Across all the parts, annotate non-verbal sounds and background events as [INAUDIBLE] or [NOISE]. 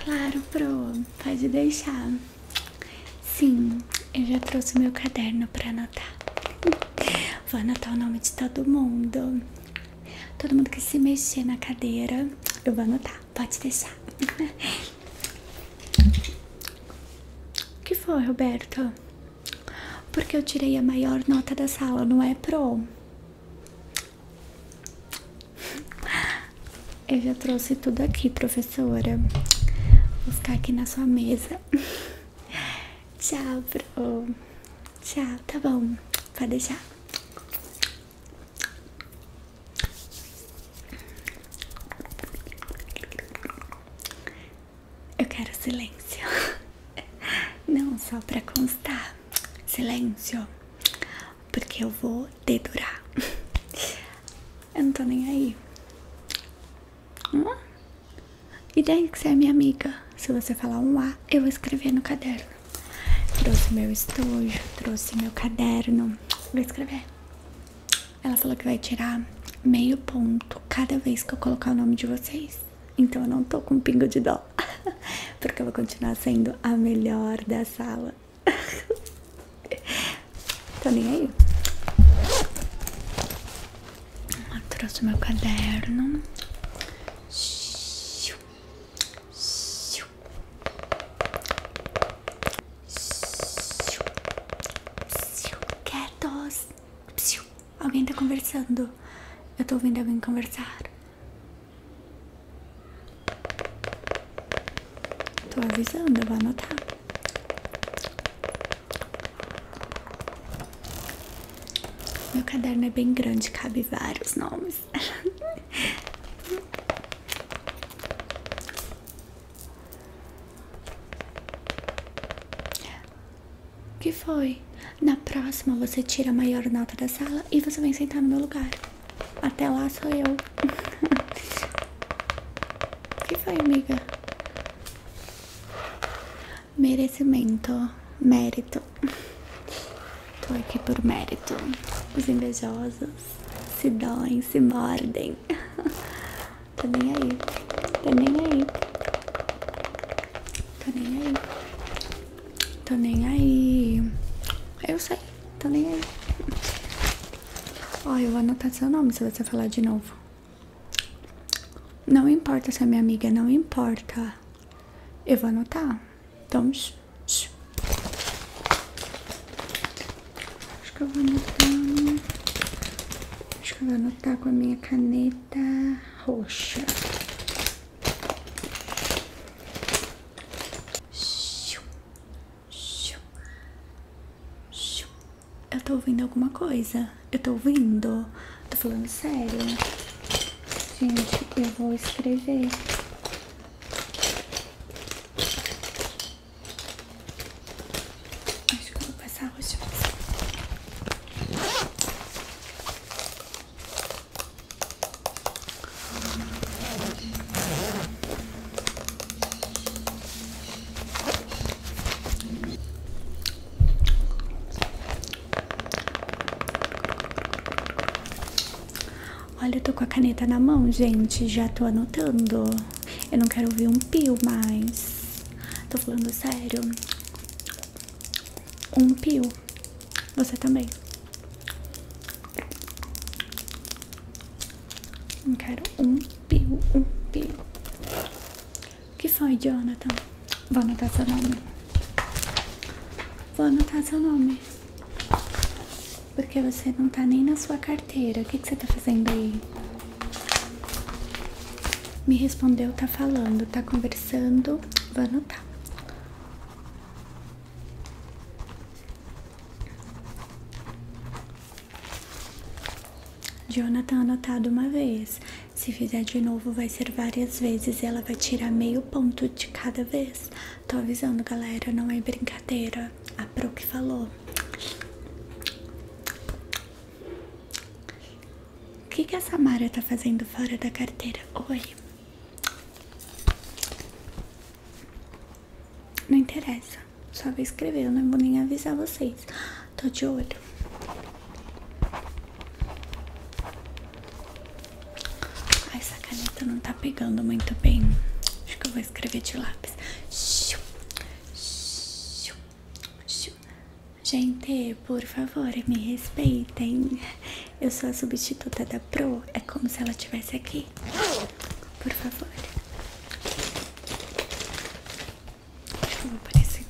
Claro, Pro, pode deixar. Sim, eu já trouxe meu caderno para anotar. [LAUGHS] Vou anotar o nome de todo mundo. Todo mundo que se mexer na cadeira, eu vou anotar. Pode deixar. O [LAUGHS] que foi, Roberto? Porque eu tirei a maior nota da sala, não é, Pro? [LAUGHS] Eu já trouxe tudo aqui, professora. Vou ficar aqui na sua mesa. [LAUGHS] Tchau, pro. Tchau, tá bom. Pode deixar. Eu quero silêncio. [LAUGHS] [LAUGHS] Não, só pra constar. Silêncio. Porque eu vou dedurar. [LAUGHS] Eu não tô nem aí. Hum? E daí que você é minha amiga? Se você falar um A, eu vou escrever no caderno. Trouxe meu estojo, trouxe meu caderno. Vou escrever. Ela falou que vai tirar meio ponto cada vez que eu colocar o nome de vocês. Então eu não tô com um pingo de dó. [LAUGHS] porque eu vou continuar sendo a melhor da sala. [LAUGHS] Tô tá nem aí. Eu trouxe meu caderno. Quietos. Alguém tá conversando. Eu tô ouvindo alguém conversar. Tô avisando, eu vou anotar. Meu caderno é bem grande, cabe vários nomes. O que foi? Na próxima você tira a maior nota da sala e você vem sentar no meu lugar. Até lá sou eu. [LAUGHS] O que foi, amiga? Merecimento. Mérito. Tô aqui por mérito. Os invejosos se doem, se mordem. [LAUGHS] Tô tá nem aí. Tô tá nem aí. Tô tá nem aí. Tô nem aí. Eu sei, tô nem aí. Ó, eu vou anotar seu nome se você falar de novo. Não importa se é minha amiga, não importa. Eu vou anotar. Então, acho que eu vou anotar. Acho que eu vou anotar com a minha caneta tinta roxa. Eu tô ouvindo alguma coisa. Eu tô ouvindo. Tô falando sério. Gente, eu vou escrever. Acho que eu vou passar roxa. Olha, eu tô com a caneta na mão, gente. Já tô anotando. Eu não quero ouvir um pio mais. Tô falando sério um piu, Você também. Não quero um piu, um piu. O que foi, Jonathan? Vou anotar seu nome. Vou anotar seu nome. Porque você não tá nem na sua carteira. O que, que você tá fazendo aí? Me respondeu, tá falando, tá conversando conversando. Vou anotar. Jonathan anotado uma vez. Se fizer de novo, vai ser várias vezes. Ela vai tirar meio ponto de cada vez. Tô avisando, galera, não é brincadeira. A Pro que falou. O que, que a Samara tá fazendo fora da carteira? Oi. Não interessa. Só vou escrever, eu não vou nem avisar vocês. Tô de olho. Ai, essa caneta não tá pegando muito bem. Acho que eu vou escrever de lápis. Xiu, xiu, xiu. Gente, por favor, me respeitem. Eu sou a substituta da Pro. É como se ela estivesse aqui. Por favor. Deixa eu aparecer.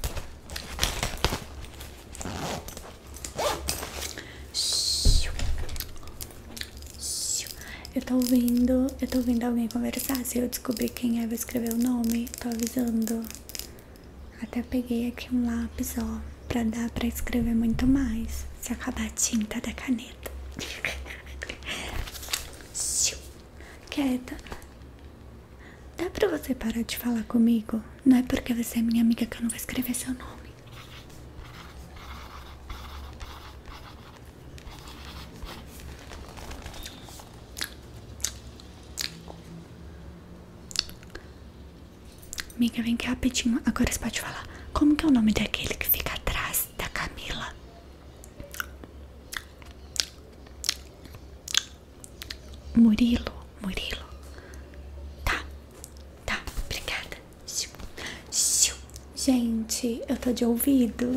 Eu ouvindo, eu tô ouvindo alguém conversar. Se eu descobrir quem é, vou escrever o nome. Tô avisando. Até peguei aqui um lápis, ó, pra dar pra escrever muito mais. Se acabar a tinta da caneta. [LAUGHS] Quieta. Dá pra você parar de falar comigo? Não é porque você é minha amiga que eu não vou escrever seu nome. Amiga, vem cá rapidinho. Agora você pode falar. Como que é o nome daquele que fica atrás da Camila? Murilo, Murilo. Tá, tá, obrigada. Gente, eu tô de ouvido.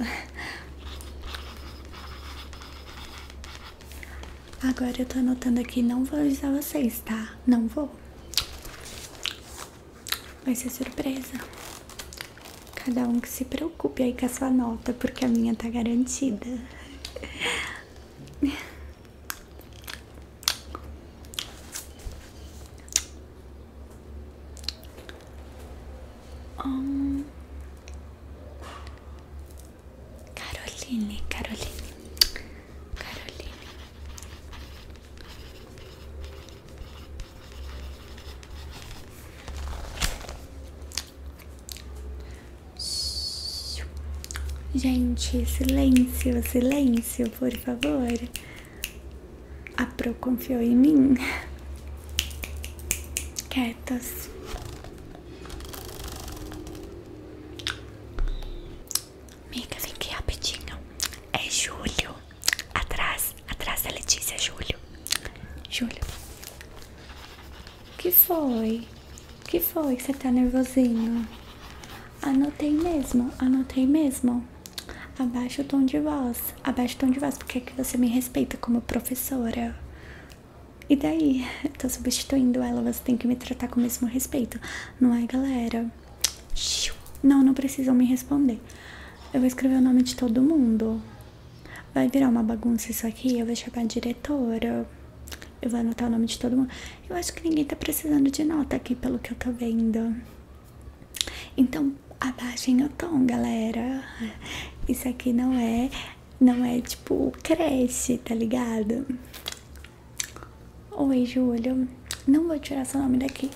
Agora eu tô anotando aqui, não vou avisar vocês, tá? Não vou. Vai ser surpresa. Cada um que se preocupe aí com a sua nota, porque a minha tá garantida. [LAUGHS] [LAUGHS] Hum. Caroline, Caroline, Caroline. Gente, silêncio, silêncio, por favor. A Pro confiou em mim quietas. Miga, vem aqui rapidinho. É Júlio. Atrás, atrás da Letícia, Júlio. Júlio. Que foi? Que foi você tá nervosinho? Anotei mesmo, anotei mesmo. Abaixa o tom de voz, abaixa o tom de voz, porque é que você me respeita como professora. E daí? Eu tô substituindo ela, você tem que me tratar com o mesmo respeito, não é, galera? Não, não precisam me responder. Eu vou escrever o nome de todo mundo. Vai virar uma bagunça isso aqui, eu vou chamar a diretora. Eu vou anotar o nome de todo mundo. Eu acho que ninguém tá precisando de nota aqui, pelo que eu tô vendo. Então, abaixa em tom, galera. Isso aqui não é, não é tipo creche, tá ligado? Oi, Júlio. Não vou tirar seu nome daqui.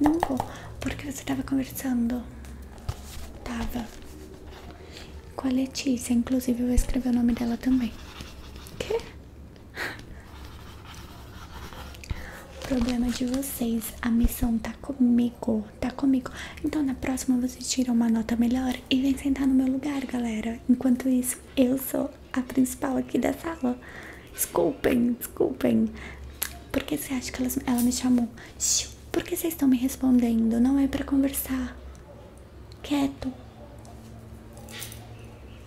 Não vou, porque você tava conversando. Tava. Com a Letícia, inclusive eu vou escrever o nome dela também. Que? Problema de vocês, a missão tá comigo tá comigo. Então na próxima você tira uma nota melhor e vem sentar no meu lugar, galera. Enquanto isso, eu sou a principal aqui da sala. Desculpem, desculpem. Por que você acha que elas, ela me chamou? Xiu, por que vocês estão me respondendo? Não é pra conversar. Quieto.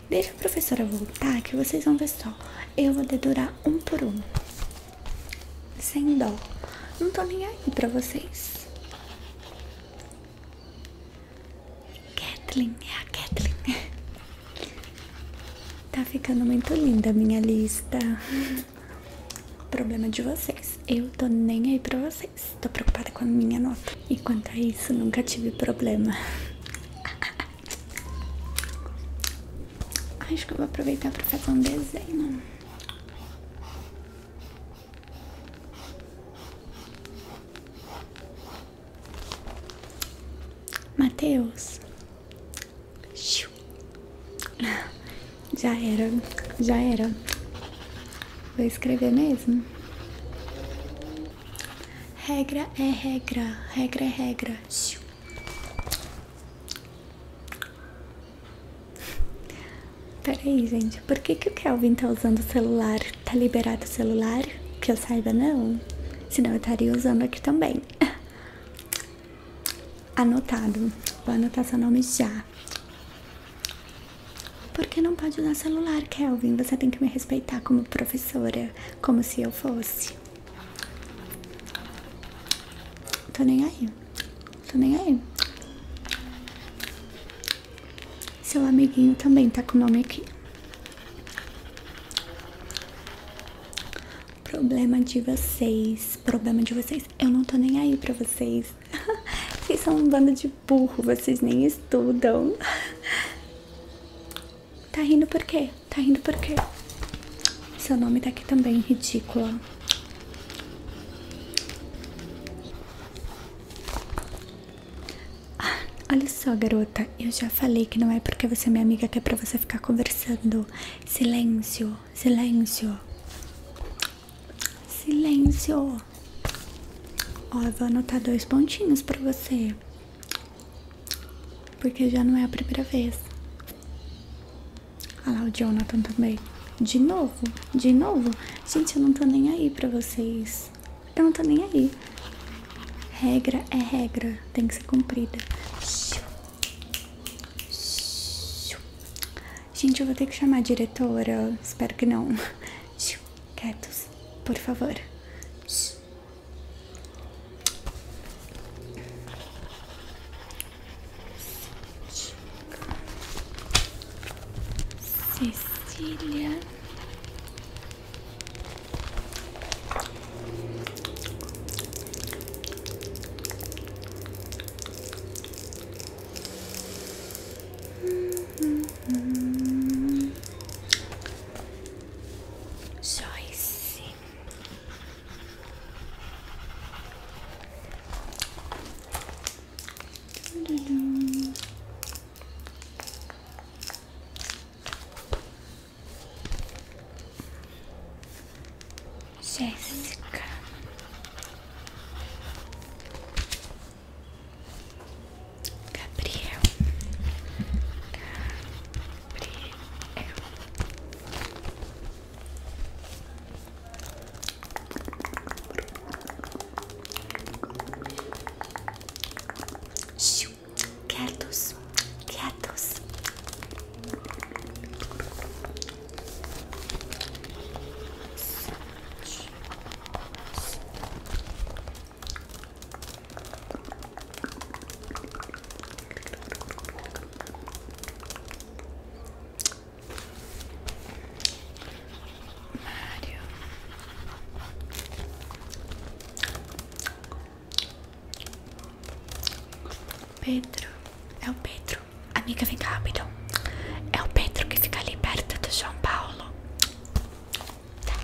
Deixa a professora voltar que vocês vão ver só. Eu vou dedurar um por um. Sem dó. Não tô nem aí pra vocês. Kathleen, é a Kathleen. Tá ficando muito linda a minha lista. Problema de vocês. Eu tô nem aí pra vocês. Tô preocupada com a minha nota. E quanto a isso, nunca tive problema. Acho que eu vou aproveitar pra fazer um desenho. Mateus. Já era, já era. Vou escrever mesmo. Regra é regra, regra é regra. Peraí, gente, por que, que o Kelvin tá usando o celular? Tá liberado o celular? Que eu saiba, não. Senão eu estaria usando aqui também. [LAUGHS] Anotado. Vou anotar seu nome já. Por que não pode usar celular, Kelvin? Você tem que me respeitar como professora, como se eu fosse. Tô nem aí. Tô nem aí. Seu amiguinho também tá com o nome aqui. Problema de vocês. Problema de vocês. Eu não tô nem aí pra vocês. [LAUGHS] Vocês são um bando de burro. Vocês nem estudam. [LAUGHS] Tá rindo por quê? Tá indo porque Seu nome tá aqui também, ridícula. Ah, olha só, garota. Eu já falei que não é porque você é minha amiga que é pra você ficar conversando. Silêncio, silêncio. Silêncio. Ó, eu vou anotar dois pontinhos pra você. Porque já não é a primeira vez. Olha lá o Jonathan também. De novo, de novo. Gente, eu não tô nem aí pra vocês. Eu não tô nem aí. Regra é regra, tem que ser cumprida. Gente, eu vou ter que chamar a diretora. Espero que não. Quietos, por favor. Cecília. Hum, hum, hum. Joyce. Jéssica. Gabriel sempre eu. Quietos, quietos. Sete, sete, Mário Pedro É o Pedro Amiga, vem cá rapidão É o Pedro que fica ali perto do São Paulo tá.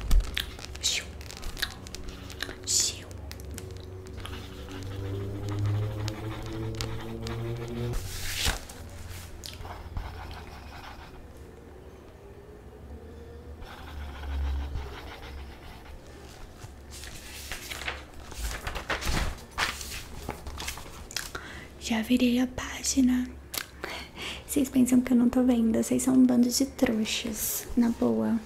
Gil. Já virei a página. Vocês pensam que eu não tô vendo, vocês são um bando de trouxas, na boa.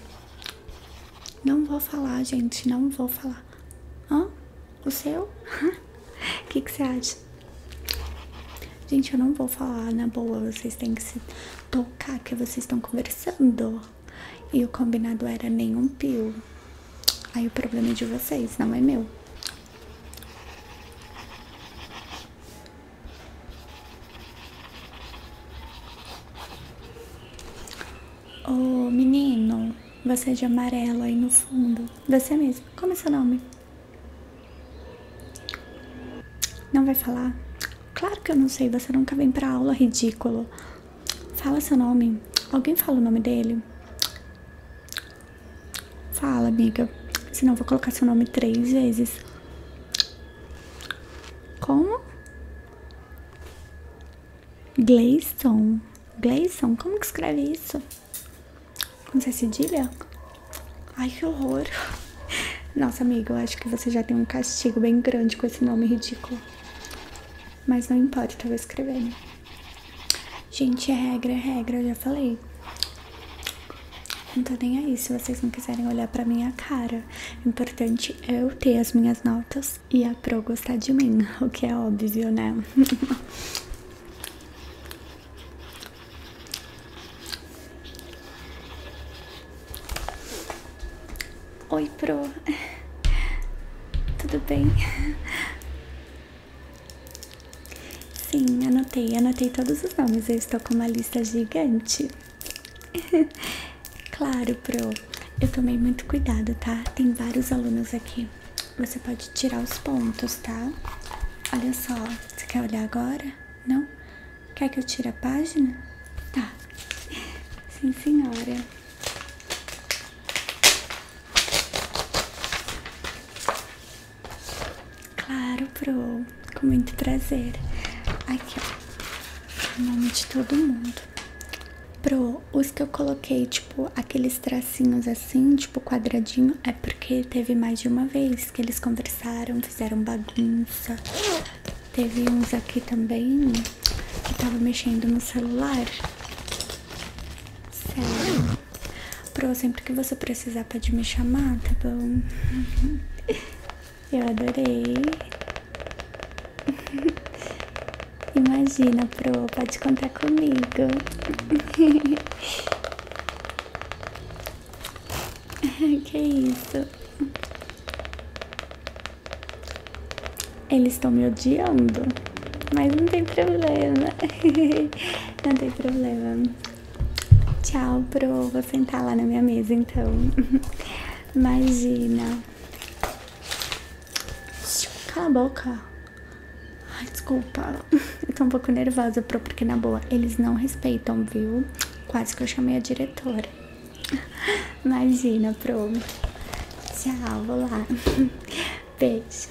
Não vou falar, gente. Não vou falar. Hã? O seu? O [LAUGHS] que, que você acha? Gente, eu não vou falar na boa. Vocês têm que se tocar que vocês estão conversando. E o combinado era nenhum pio. Aí o problema é de vocês, não é meu. Ô menino, você é de amarelo aí no fundo. Você é mesmo. Como é seu nome? Não vai falar? Claro que eu não sei, você nunca vem pra aula, ridículo. Fala seu nome. Alguém fala o nome dele? Fala, amiga. Senão eu vou colocar seu nome três vezes. Como? Gleison. Gleison? Como que escreve isso? Não sei cedilha? Ai, que horror. [LAUGHS] Nossa, amiga, eu acho que você já tem um castigo bem grande com esse nome ridículo. Mas não importa, eu vou escrevendo. Gente, é regra, é regra, eu já falei. Não tô nem aí se vocês não quiserem olhar pra minha cara. O importante é eu ter as minhas notas e a Pro gostar de mim, [LAUGHS] o que é óbvio, né? [LAUGHS] Oi, Pro. [LAUGHS] Tudo bem? Sim, anotei, anotei todos os nomes. Eu estou com uma lista gigante. [LAUGHS] claro, Pro. Eu tomei muito cuidado, tá? Tem vários alunos aqui. Você pode tirar os pontos, tá? Olha só. Você quer olhar agora? Não? Quer que eu tire a página? Tá. [LAUGHS] Sim, senhora. Claro, Pro, com muito prazer. Aqui, ó, o nome de todo mundo. Pro, os que eu coloquei, tipo, aqueles tracinhos assim, tipo quadradinho, é porque teve mais de uma vez que eles conversaram, fizeram bagunça. Teve uns aqui também que tava mexendo no celular. Sério. Pro, sempre que você precisar pode me chamar, tá bom? [LAUGHS] Eu adorei. [LAUGHS] Imagina, Pro, pode contar comigo. [LAUGHS] que isso? Eles estão me odiando, mas não tem problema. [LAUGHS] não tem problema. Tchau, pro. Vou sentar lá na minha mesa então. [LAUGHS] Imagina. Cala a boca. desculpa. [LAUGHS] Eu tô um pouco nervosa, pro, porque na boa eles não respeitam, viu? Quase que eu chamei a diretora. [LAUGHS] Imagina, pro. Tchau, vou lá. Beijo.